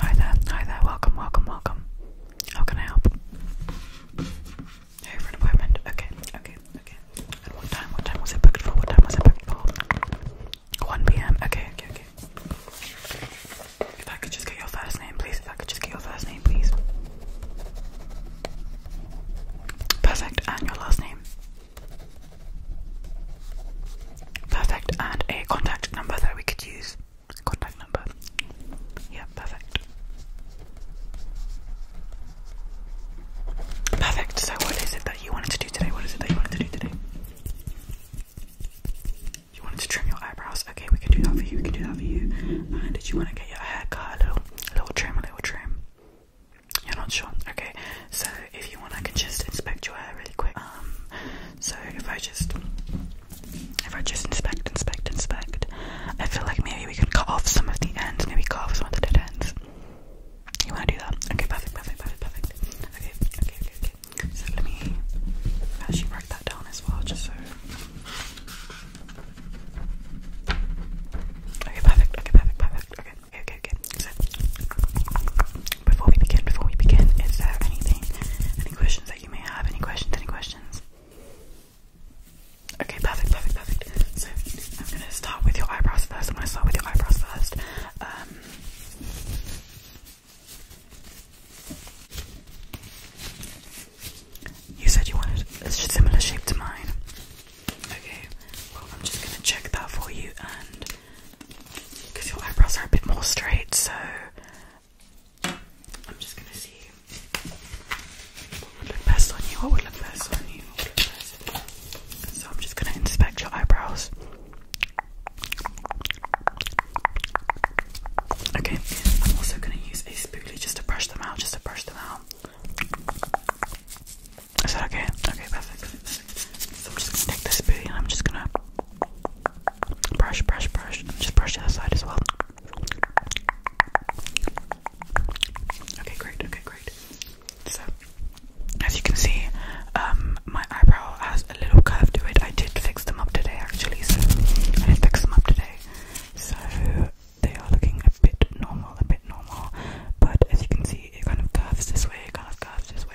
Hi there, hi there, welcome, welcome, welcome. How can I help? Hey, for an appointment? Okay, okay, okay. what time? What time was it booked for? What time was it booked for? 1 pm? Okay, okay, okay. If I could just get your first name, please. If I could just get your first name, please. Perfect, and your last name. Perfect. And a contact number that we could use. Contact number. Yeah, perfect. Perfect. So, what is it that you wanted to do today? What is it that you wanted to do today? You wanted to trim your eyebrows. Okay, we can do that for you. We can do that for you. And did you want to get your hair cut? A little, a little trim, a little trim. You're not sure. Okay, so if you want, I can just inspect your hair really quick. Um, so if I just, if I just inspect, inspect, inspect, I feel like maybe we can cut off some of the ends. Maybe cut off some of the dead ends. You want to do that? Okay, perfect, perfect, perfect, perfect. Okay, okay, okay, okay. So let me actually write that down as well, just so. Okay, perfect, okay, perfect, perfect, okay, okay, okay, okay. So, before we begin, before we begin, is there anything, any questions that you may have? Any questions? Any questions? Okay, perfect, perfect, perfect. So I'm gonna start with your eyebrows first. I'm gonna start with your eyebrows first. Um, you said you wanted a similar shape to mine. Okay, well I'm just gonna check that for you and because your eyebrows are a bit more straight, so I'm just gonna see what would look best on you, what would look best on you, So I'm just gonna inspect your eyebrows. Okay, I'm also gonna use a spoolie just to brush them out, just to brush them out. Is that okay? Okay, perfect. So I'm just gonna take this booty and I'm just gonna brush, brush, brush, just brush the other side as well. Okay, great, okay, great. So, as you can see, um, my eyebrow has a little curve to it. I did fix them up today, actually. I did fix them up today. So, they are looking a bit normal, a bit normal. But as you can see, it kind of curves this way, it kind of curves this way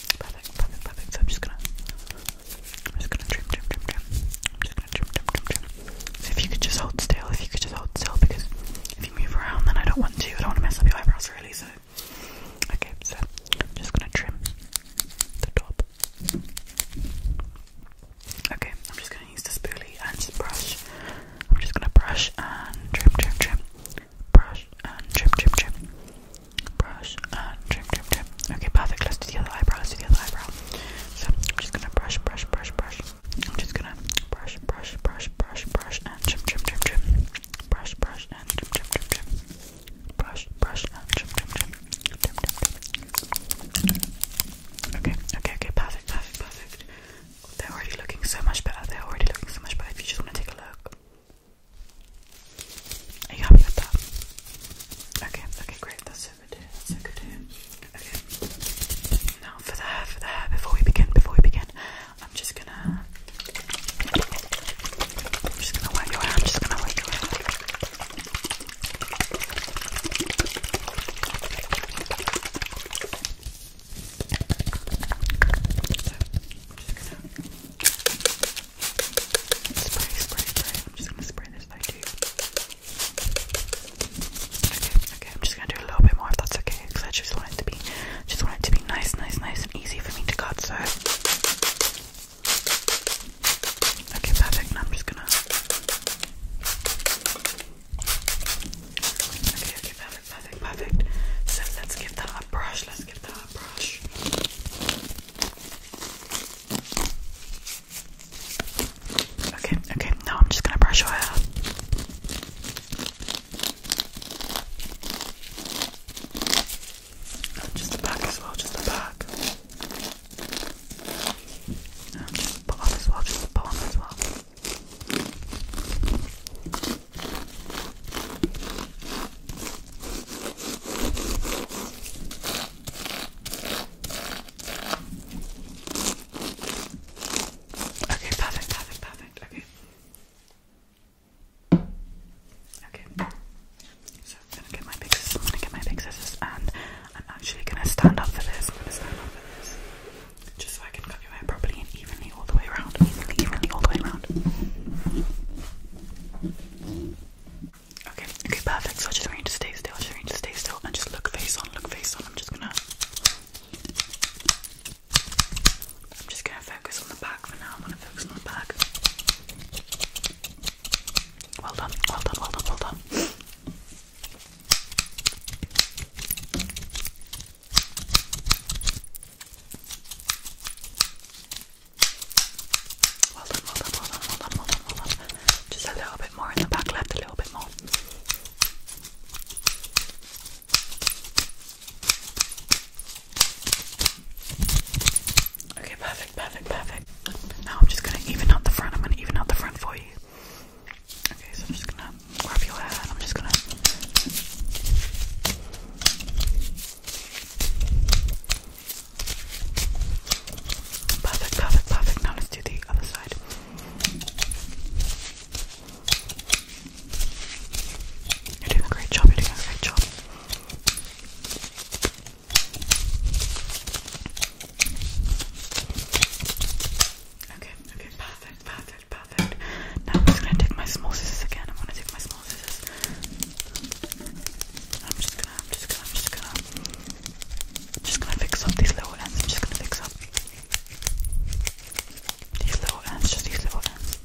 so I'm just gonna, I'm just gonna trim, trim, trim, trim. trim, trim, trim, trim. if you could just hold still, if you could just hold still, because if you move around, then I don't want to. I don't want to mess up your eyebrows really. So, okay, so I'm just gonna trim the top. Okay, I'm just gonna use the spoolie and just brush. I'm just gonna brush and trim, trim, trim. Brush and trim, trim, trim. Brush and trim, trim, trim. Okay, perfect. Let's do the other eyebrow. Let's do the other eyebrow. So I'm just gonna brush, brush, brush, brush. I'm just gonna brush, brush, brush, brush, brush, and trim, trim, trim, trim. Brush, brush, and trim, trim, trim, trim. Brush, brush, and trim, trim, trim. Trim, trim, trim. Okay, okay, okay. Perfect, perfect, perfect. They're already looking so much better. They're already looking so much better. If you just want to take a look you happy that? Okay, okay, great. That's good. That's good. Okay. Now for the hair, for the hair. Before we begin, before we begin, I'm just gonna, I'm just gonna wet your hair. I'm just gonna wet your hair. Spray, spray, spray. I'm just gonna spray this by too. Okay, okay. I'm just gonna do a little bit more if that's okay, because I just want it to be, just want it to be nice, nice, nice, and easy for me to cut. So, okay, perfect. Now I'm just gonna. Okay, okay, perfect, perfect, perfect. So let's give that a brush. Let's Let's get the hot brush. Okay, okay, now I'm just gonna brush your hair. Oh, just the back as well, just the back. And just the bottom as well, just the bottom as well. Okay, perfect, perfect, perfect. Okay. Okay. So I'm gonna get my big scissors. I'm gonna get my big scissors, and I'm actually gonna stand up for this. I'm gonna stand up for this, just so I can cut properly and evenly all the way around. Evenly, evenly all the way around. Okay, okay, perfect. So I just want to stay still. I just want to stay still and just look face on, look face on. I'm just gonna I'm just gonna focus on the back for now. I'm gonna focus on the back. Well done, well done, well done, well done. Just a little bit more in the back left, a little bit more. Okay, perfect, perfect, perfect. Now I'm just gonna even out the front. I'm gonna even out the front for you. Okay, so I'm just gonna grab your hair I'm just gonna Perfect, perfect, perfect. Now let's do the other side. You're doing a great job, you're doing a great job. Okay, okay, perfect, perfect perfect, Now I'm just gonna take my small scissors again. I'm gonna take my small scissors. I'm just gonna, I'm just gonna, I'm just gonna, just gonna fix up these little ends. I'm just gonna fix up these little ends, just these little ends.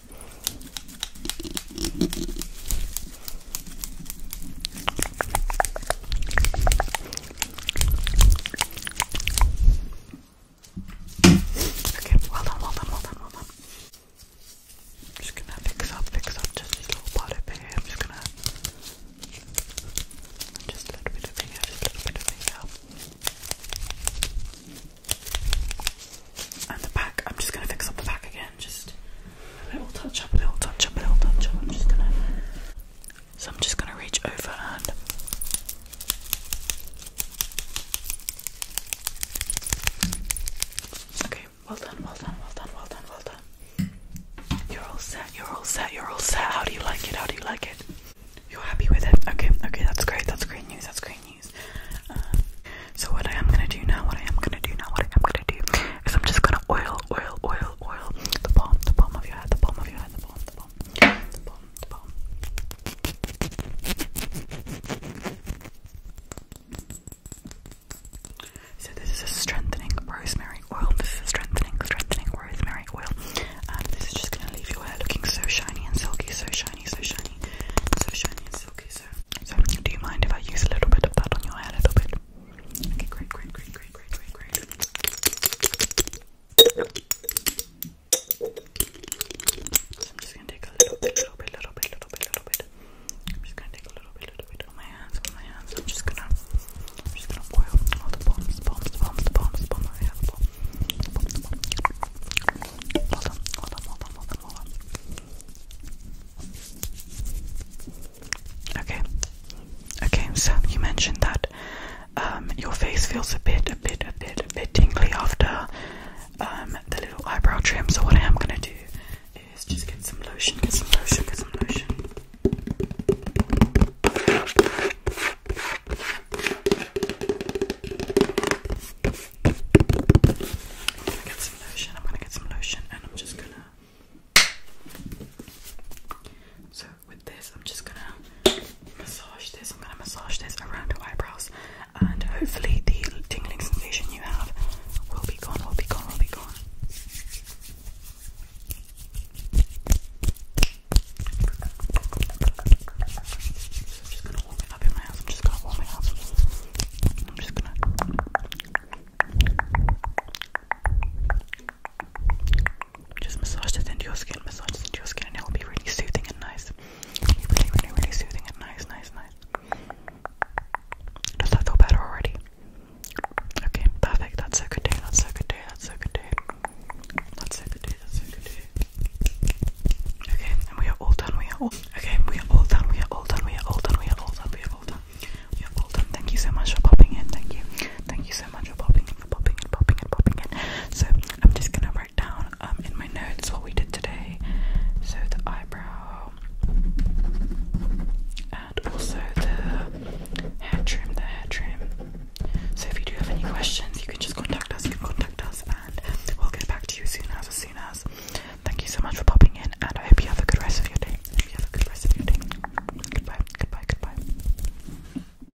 Okay, well done, well done, well done, well done. I'm just gonna fix up, fix up just this little part over here. I'm just gonna just a little bit of finger, a little bit of finger. And the back, I'm just gonna fix up the back again, just a little touch up, a little touch up, a little touch up. I'm just gonna so I'm just gonna reach over and Okay, well done, well done, well done, well done, well done. You're all set, you're all set, you're all set. How do you like it? How do you like it? You're happy with it? Okay, okay, that's great, that's great news, that's great news. Um, so what I am gonna do now, what I am gonna do now, what I am gonna do is I'm just gonna oil, oil, oil, oil the palm, the palm of your head, the palm of your head, the palm, the palm, the palm, the bottom. So this is a strengthening rosemary oil. This is a strengthening, strengthening rosemary oil. And um, this is just gonna leave your hair looking so shiny and silky, so shiny, so shiny, so shiny and silky. So, so do you mind if I use a little bit of that on your hair a little bit? Okay, great, great, great, great, great, great, great. I'm just gonna take a little bit, little bit, little bit, little bit, little bit. I'm just gonna take a little bit, little bit on my hands, on I'm just gonna, just gonna oil all the palms, palms, palms, palms, palms. I have a palm. Hold on, hold on, hold on, hold on, hold on. Okay, okay. So you mentioned that um, your face feels a bit, a bit, a bit, a bit tingly after um, the little eyebrow trim. So what I am gonna do is just get some lotion, get some lotion, get some lotion. I'm gonna get some lotion. I'm gonna get some lotion, and I'm just gonna. So with this, I'm just gonna massage this. I'm gonna massage this around your eyebrows, and hopefully, the tingling sensation you have will be gone, will be gone, will be gone. Just massage this into your skin, massage this into your skin, and it will be really soothing and nice. Really, really, really soothing and nice, nice, nice. Does that feel better already? Okay, perfect. That's a good day. That's a good day. That's a good day. That's a good day. That's a good day. Okay, we are all done. We are all okay. We are all done. We are all done. We are all done. We are all done. We are all done. We are all done. Thank you so much for popping in. Thank you. Thank you so much for popping in. popping in. Popping in. Popping in. So I'm just gonna write down um, in my notes what we did today. So the eyebrow and also the hair trim, the hair trim. So if you do have any questions, you can just contact us, you can contact us and we'll get back to you soon as, soon as. Thank you so much for popping in and I hope you have a good rest of your day. have a good rest of your day. Goodbye, goodbye, goodbye.